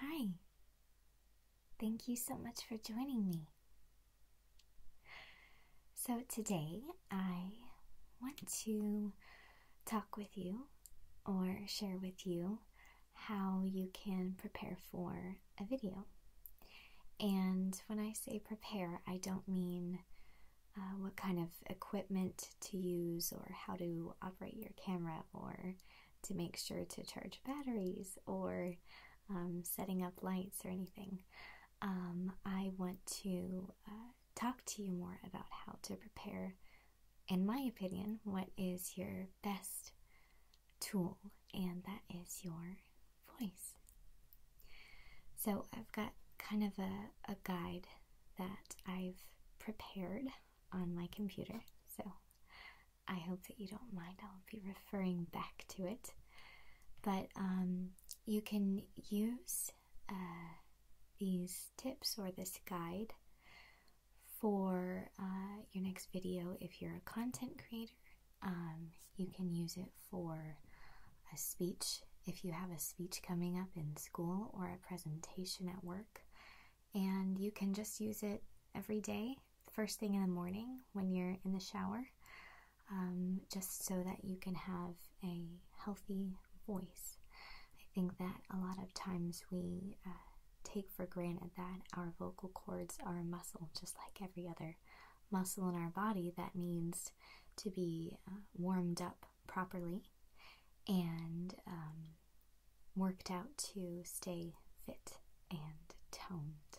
Hi. Thank you so much for joining me. So, today I want to talk with you or share with you how you can prepare for a video. And when I say prepare, I don't mean uh, what kind of equipment to use or how to operate your camera or to make sure to charge batteries or um, setting up lights or anything. Um, I want to uh, talk to you more about how to prepare, in my opinion, what is your best tool, and that is your voice. So I've got kind of a, a guide that I've prepared on my computer, so I hope that you don't mind. I'll be referring back to it. But um, you can use uh, these tips or this guide for uh, your next video if you're a content creator um, you can use it for a speech if you have a speech coming up in school or a presentation at work. And you can just use it every day, first thing in the morning when you're in the shower, um, just so that you can have a healthy voice. I think that a lot of times we uh, take for granted that our vocal cords are a muscle, just like every other muscle in our body that needs to be uh, warmed up properly and um, worked out to stay fit and toned.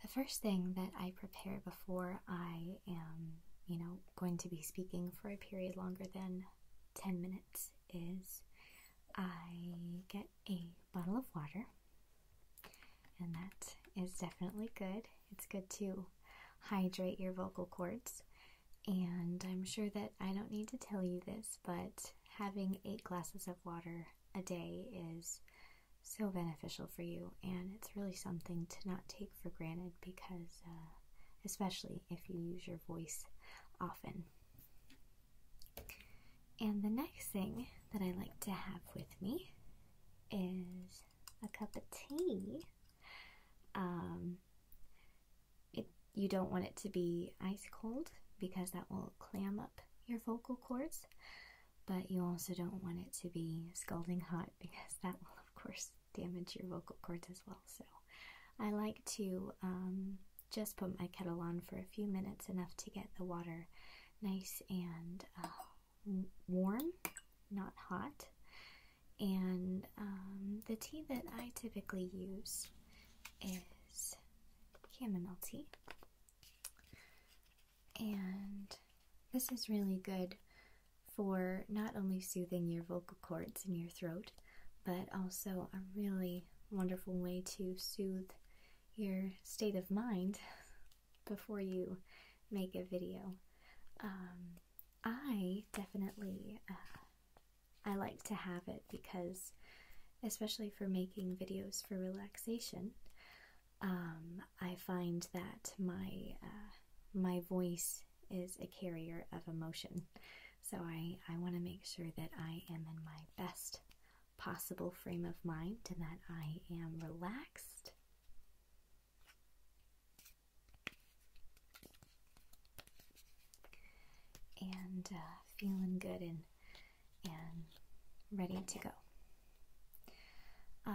The first thing that I prepare before I am, you know, going to be speaking for a period longer than 10 minutes is I get a bottle of water. And that is definitely good. It's good to hydrate your vocal cords. And I'm sure that I don't need to tell you this, but having eight glasses of water a day is so beneficial for you. And it's really something to not take for granted because, uh, especially if you use your voice often. And the next thing that I like to have with me is a cup of tea. Um, you don't want it to be ice cold because that will clam up your vocal cords, but you also don't want it to be scalding hot because that will, of course, damage your vocal cords as well. So I like to um, just put my kettle on for a few minutes, enough to get the water nice and uh, warm, not hot. And um, the tea that I typically use is chamomile tea. And this is really good for not only soothing your vocal cords and your throat, but also a really wonderful way to soothe your state of mind before you make a video. Um, I definitely uh, I like to have it because, especially for making videos for relaxation, um, I find that my uh, my voice is a carrier of emotion. So I I want to make sure that I am in my best possible frame of mind and that I am relaxed. And uh, feeling good and and ready to go. Uh,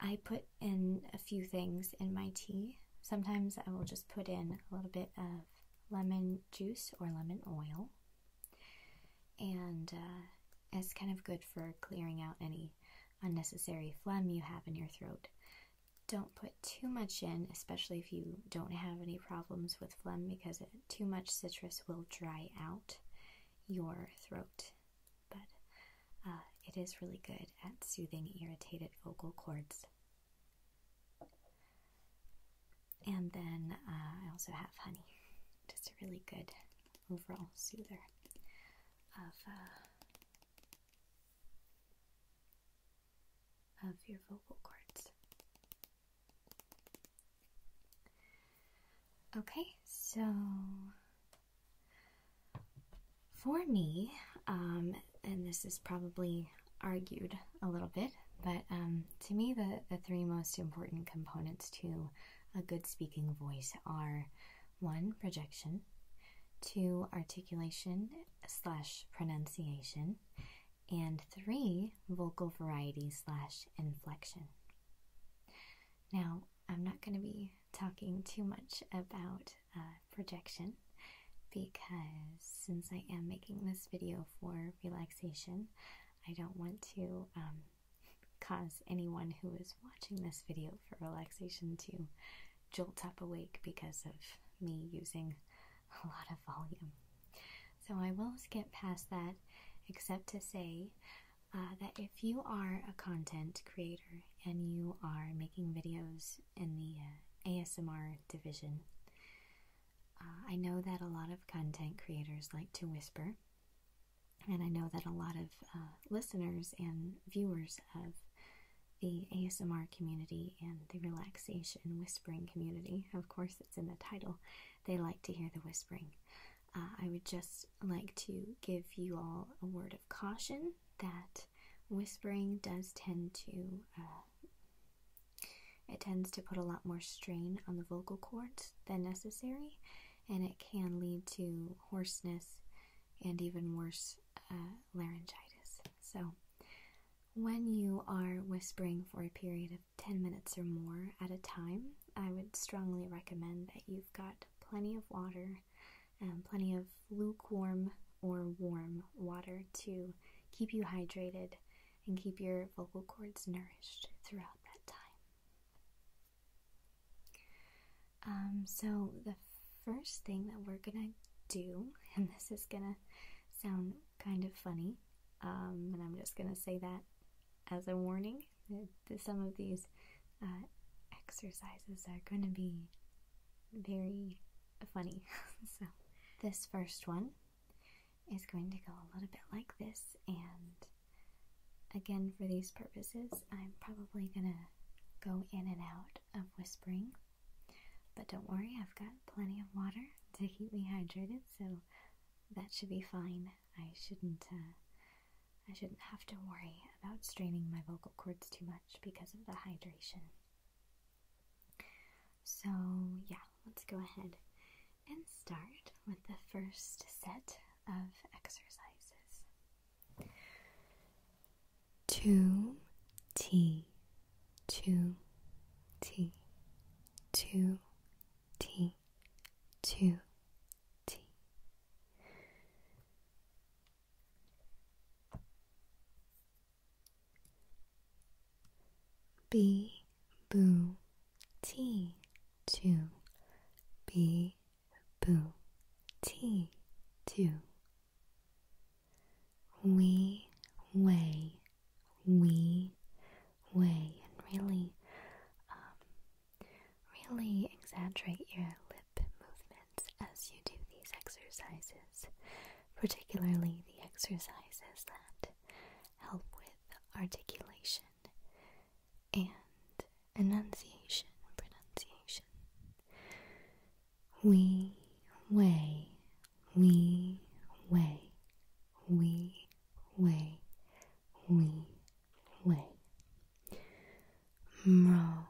I put in a few things in my tea. Sometimes I will just put in a little bit of lemon juice or lemon oil and it's uh, kind of good for clearing out any unnecessary phlegm you have in your throat. Don't put too much in, especially if you don't have any problems with phlegm, because too much citrus will dry out your throat. But uh, it is really good at soothing irritated vocal cords. And then uh, I also have honey, just a really good overall soother of uh, of your vocal cords. Okay, so for me, um, and this is probably argued a little bit, but um, to me, the, the three most important components to a good speaking voice are one, projection, two, articulation slash pronunciation, and three, vocal variety slash inflection. Now, I'm not going to be talking too much about uh, projection because since I am making this video for relaxation, I don't want to um, cause anyone who is watching this video for relaxation to jolt up awake because of me using a lot of volume. So I will skip past that, except to say uh, that if you are a content creator and you are making videos in the uh, ASMR division, uh, I know that a lot of content creators like to whisper and I know that a lot of uh, listeners and viewers of the ASMR community and the relaxation whispering community, of course, it's in the title, they like to hear the whispering. Uh, I would just like to give you all a word of caution that whispering does tend to. Uh, it tends to put a lot more strain on the vocal cords, than necessary, and it can lead to hoarseness and even worse uh, laryngitis. So, when you are whispering for a period of 10 minutes or more at a time, I would strongly recommend that you've got plenty of water and plenty of lukewarm or warm water to keep you hydrated and keep your vocal cords nourished throughout that time. Um, so, the first thing that we're gonna do, and this is gonna sound kind of funny, and um, I'm just gonna say that as a warning, that some of these uh, exercises are gonna be very funny. so, this first one is going to go a little bit like this and again for these purposes I'm probably gonna go in and out of whispering but don't worry I've got plenty of water to keep me hydrated so that should be fine I shouldn't uh, I shouldn't have to worry about straining my vocal cords too much because of the hydration so yeah let's go ahead and start with the first set of exercises. Two T, two T, two T, two T. B boo t two b boo t two we way we way and really um, really exaggerate your lip movements as you do these exercises particularly the exercises that help with articulation and enunciation pronunciation. We way, we way, we way, we way. Mro,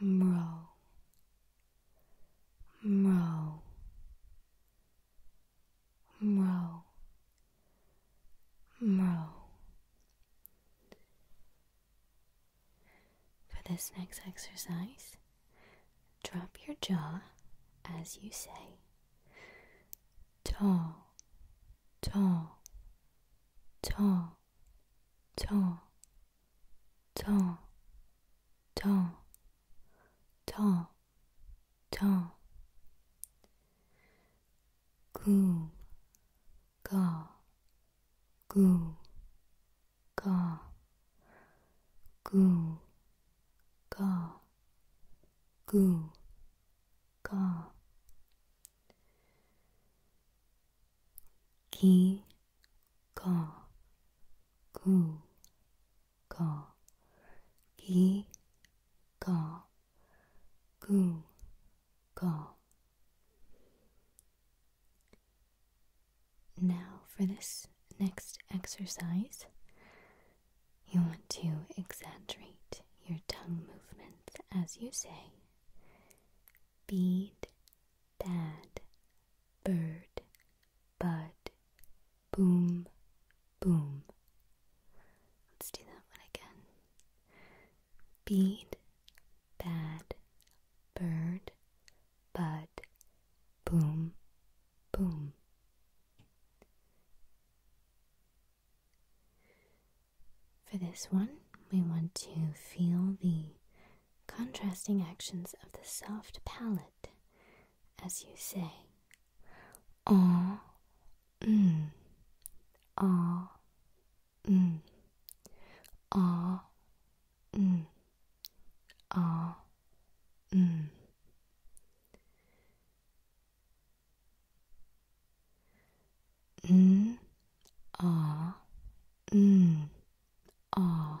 mro, mro, Mro, Mro. For this next exercise, drop your jaw as you say tall, tall, tall, tall, tall, tall. 저, 저, 구, 가, 구, 가, 구, 가, 구, 가, 기, 가, 구, go, Now, for this next exercise, you want to exaggerate your tongue movements as you say bead, dad, bird, bud, boom, boom. Let's do that one again. Bead, bad, bird, bud, boom, boom. For this one, we want to feel the contrasting actions of the soft palate as you say. 어, 음, 어, 음, 어, 음, 어, 음. 음, 어, 음, 어,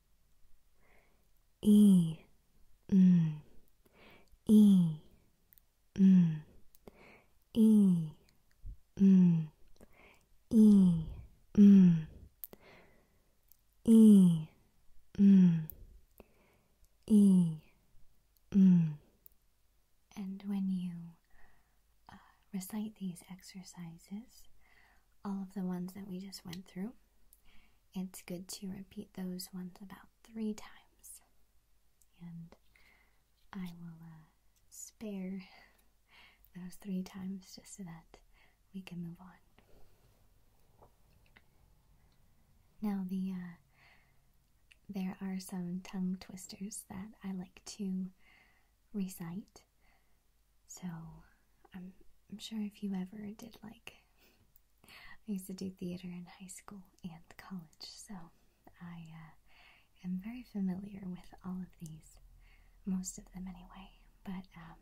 E mm E mm E mm E mm E mm E mm And when you uh, recite these exercises, all of the ones that we just went through, it's good to repeat those ones about three times. And I will uh, spare those three times just so that we can move on. Now, the uh, there are some tongue twisters that I like to recite. So, I'm sure if you ever did like I used to do theater in high school and college, so I uh, am very familiar with all of these, most of them anyway. But um,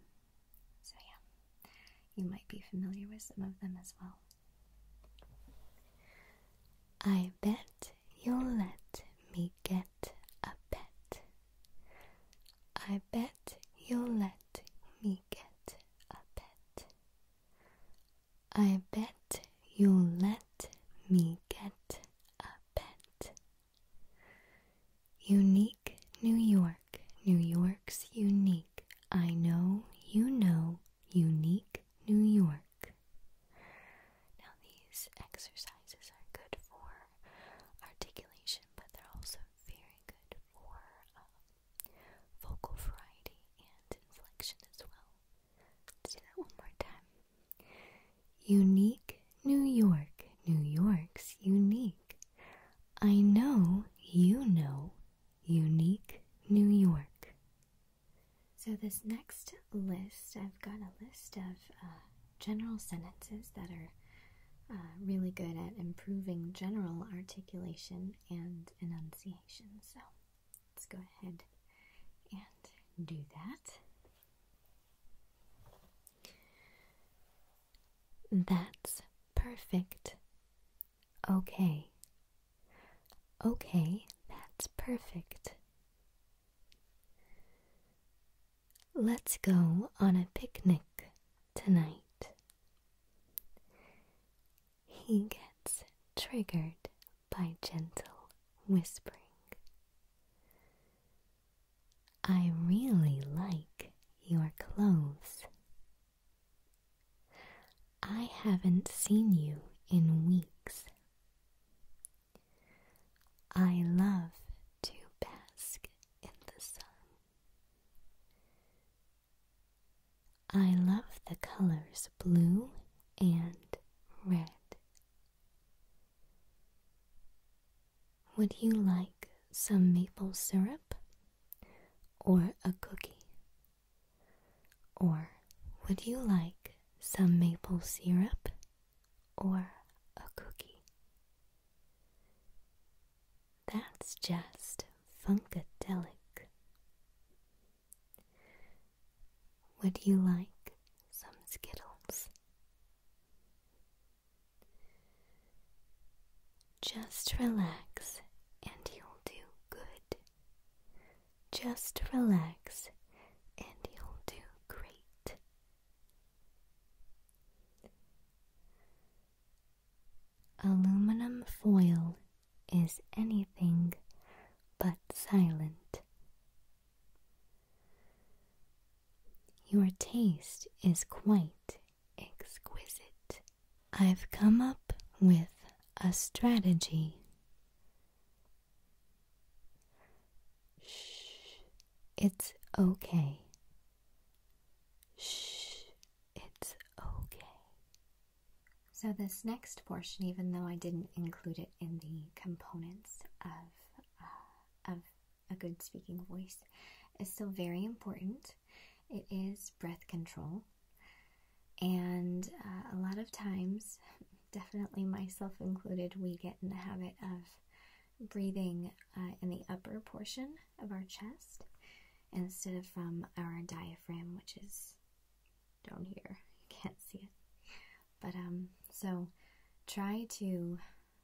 so yeah, you might be familiar with some of them as well. I bet you'll let me get a pet. I bet you'll let me get I bet you'll let me get a pet. Unique New York, New York's unique. I know you know unique New York. Now, these exercises are good for articulation, but they're also very good for um, vocal variety and inflection as well. let that one more time. Unique New York, New York's unique. I know you know unique New York. So, this next list, I've got a list of uh, general sentences that are uh, really good at improving general articulation and enunciation. So let's go ahead and do that. That's perfect. Okay. Okay, that's perfect. Let's go on a picnic tonight. He gets triggered by gentle whispering. I really like your clothes. I haven't seen you in weeks. I love to bask in the sun. I love the colors blue and red. Would you like some maple syrup? Or a cookie? Or would you like some maple syrup? Or a cookie? That's just funkadelic. Would you like some Skittles? Just relax and you'll do good. Just relax and you'll do great. Aluminum foil is anything but silent. Your taste is quite exquisite. I've come up with a strategy. Shh, it's okay. Shh, it's okay. So, this next portion, even though I didn't include it in the components of, uh, of a good speaking voice, is still very important. It is breath control. And uh, a lot of times, definitely myself included, we get in the habit of breathing uh, in the upper portion of our chest instead of from our diaphragm, which is down here. You can't see it. But, um, so try to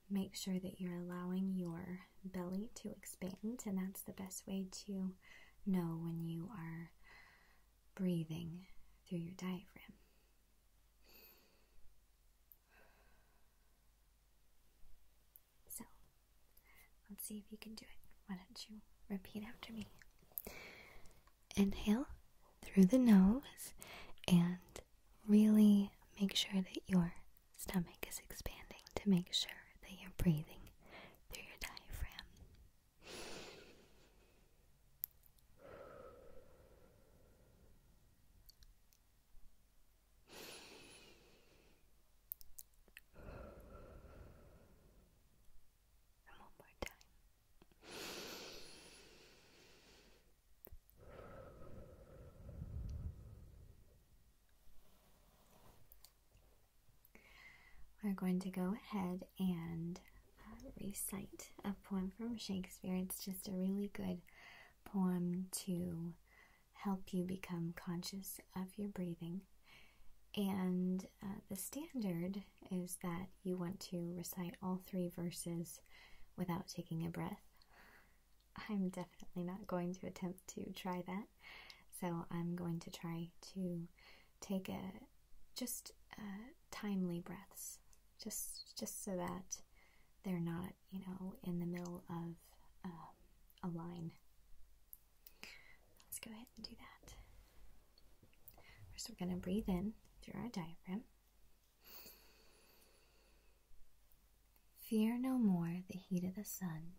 make sure that you're allowing your belly to expand, and that's the best way to know when you are breathing through your diaphragm. So, Let's see if you can do it. Why don't you repeat after me? Inhale through the nose and really make sure that your stomach is expanding to make sure that you're breathing through your diaphragm one more time. We're going to go ahead and uh, recite a poem from Shakespeare. It's just a really good poem to help you become conscious of your breathing. And uh, the standard is that you want to recite all three verses without taking a breath. I'm definitely not going to attempt to try that, so I'm going to try to take a just uh, timely breaths, just just so that they're not, you know, in the middle of of um, Let's go ahead and do that. First, we're going to breathe in through our diaphragm. Fear no more the heat of the sun,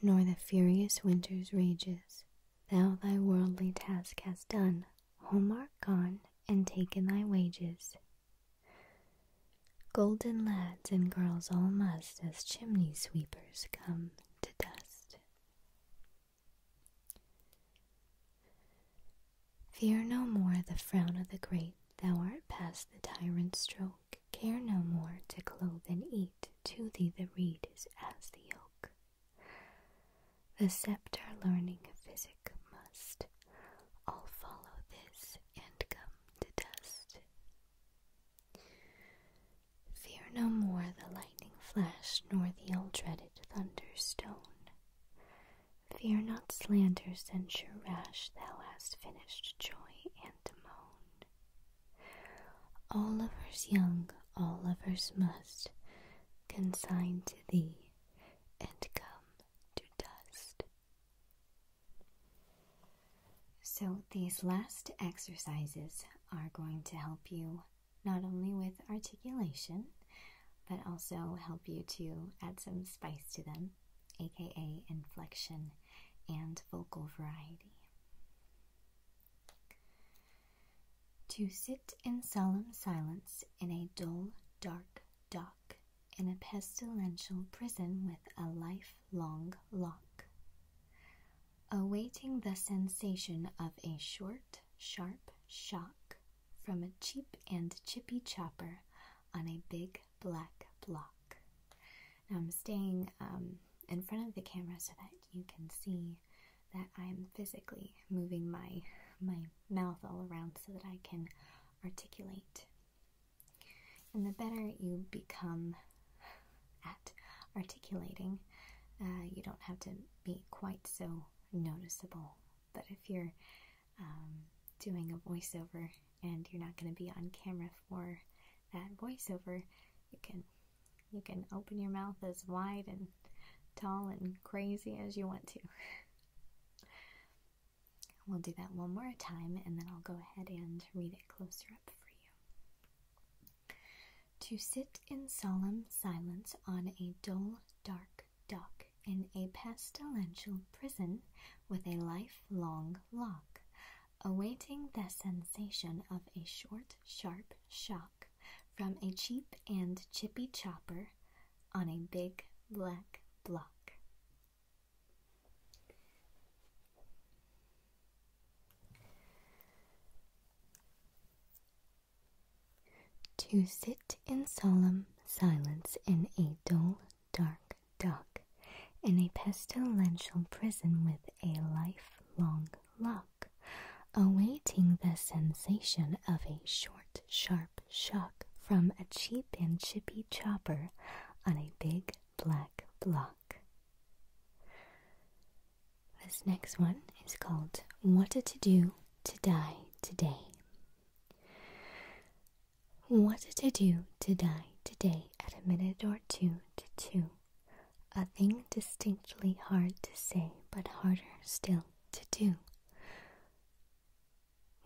nor the furious winter's rages. Thou thy worldly task hast done, home art gone, and taken thy wages. Golden lads and girls all must as chimney sweepers come to dust. Fear no more the frown of the great, thou art past the tyrant's stroke. Care no more to clothe and eat, to thee the reed is as the oak. The sceptre learning physic must all follow this and govern come to dust. Fear no more the lightning flash nor the ill dreaded thunder stone. Fear not slander, censure rash, thou hast finished joy and moan. All lovers young, all lovers must consign to thee and come to dust. So, these last exercises are going to help you not only with articulation, but also help you to add some spice to them, aka inflection and vocal variety. To sit in solemn silence in a dull, dark, dock in a pestilential prison with a lifelong lock, awaiting the sensation of a short, sharp shock from a cheap and chippy chopper on a big black block. Now I'm staying um, in front of the camera so that you can see that I'm physically moving my my mouth all around so that I can articulate and the better you become at articulating, uh, you don't have to be quite so noticeable. But if you're um, doing a voiceover and you're not going to be on camera for that voiceover, you can you can open your mouth as wide and tall and crazy as you want to. We'll do that one more time and then I'll go ahead and read it closer up for you. To sit in solemn silence on a dull, dark dock in a pestilential prison with a lifelong lock, awaiting the sensation of a short, sharp shock from a cheap and chippy chopper on a big black block. To sit in solemn silence in a dull, dark dock, in a pestilential prison with a lifelong lock, awaiting the sensation of a short, sharp shock from a cheap and chippy chopper on a big black block. This next one is called What to Do to Die Today. What to do to die today at a minute or two to two. A thing distinctly hard to say, but harder still to do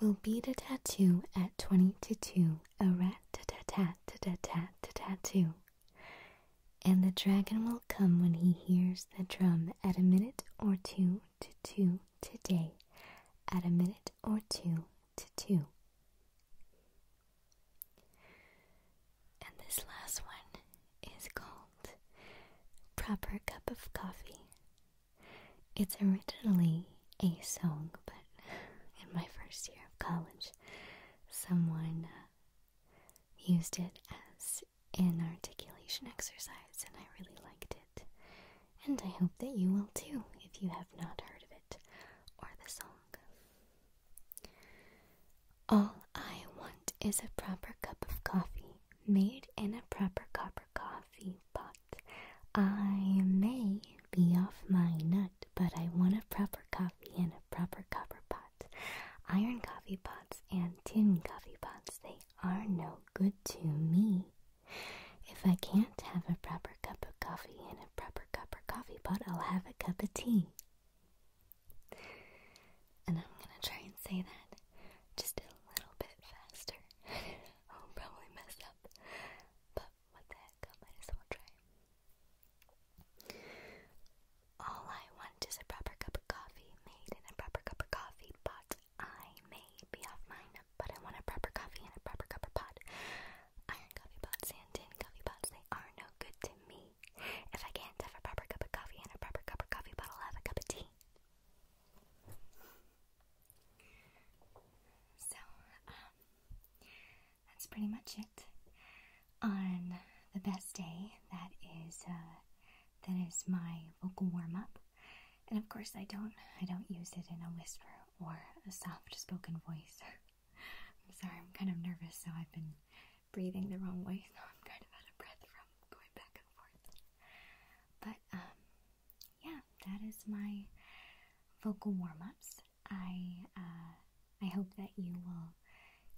will beat a tattoo at 20 to 2, a rat tat tat tat tat tat tat two. And the dragon will come when he hears the drum at a minute or two to two today, at a minute or two to two. And this last one is called Proper Cup of Coffee it's originally a song, but in my first year of college, someone uh, used it as an articulation exercise, and I really liked it. And I hope that you will too if you have not heard of it or the song. All I want is a proper cup of coffee, made in a proper copper coffee pot. I may be off my nut, but I want a proper coffee and a proper copper pot. Iron coffee pots and tin coffee pots, they are no good to me. If I can't have a proper cup of coffee in a proper copper coffee pot, I'll have a cup of tea. And I'm gonna try and say that just a little bit faster. I'll probably mess up. But what the heck, I might as well try. All I want is a proper cup of coffee, made in a proper cup of coffee pot. I may be off mine, but I want a proper coffee in a proper cup of pot. Iron coffee pots and tin coffee pots, they are no good to me. If I can't have a proper cup of coffee in a proper cup of coffee pot, I'll have a cup of tea. So, um, that's pretty much it on the best day. That is, uh, that is my vocal warm up, and of course, I don't, I don't use it in a whisper or a soft spoken voice. I'm sorry, I'm kind of nervous, so I've been breathing the wrong way, so I'm kind of out of breath from going back and forth. But um, yeah, that is my vocal warm-ups. I uh, I hope that you will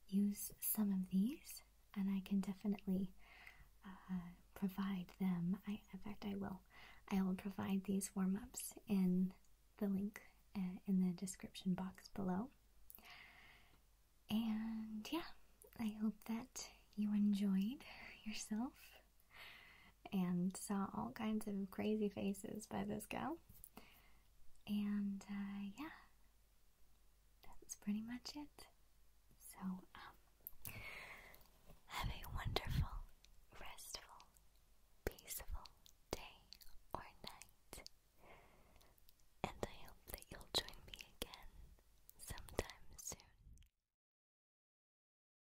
use some of these, and I can definitely uh, provide them. I, in fact, I will. I will provide these warm-ups in the link uh, in the description box below. And yeah, I hope that you enjoyed yourself and saw all kinds of crazy faces by this girl. And uh, yeah, that's pretty much it. So, um, have a wonderful, restful, peaceful day or night. And I hope that you'll join me again sometime soon.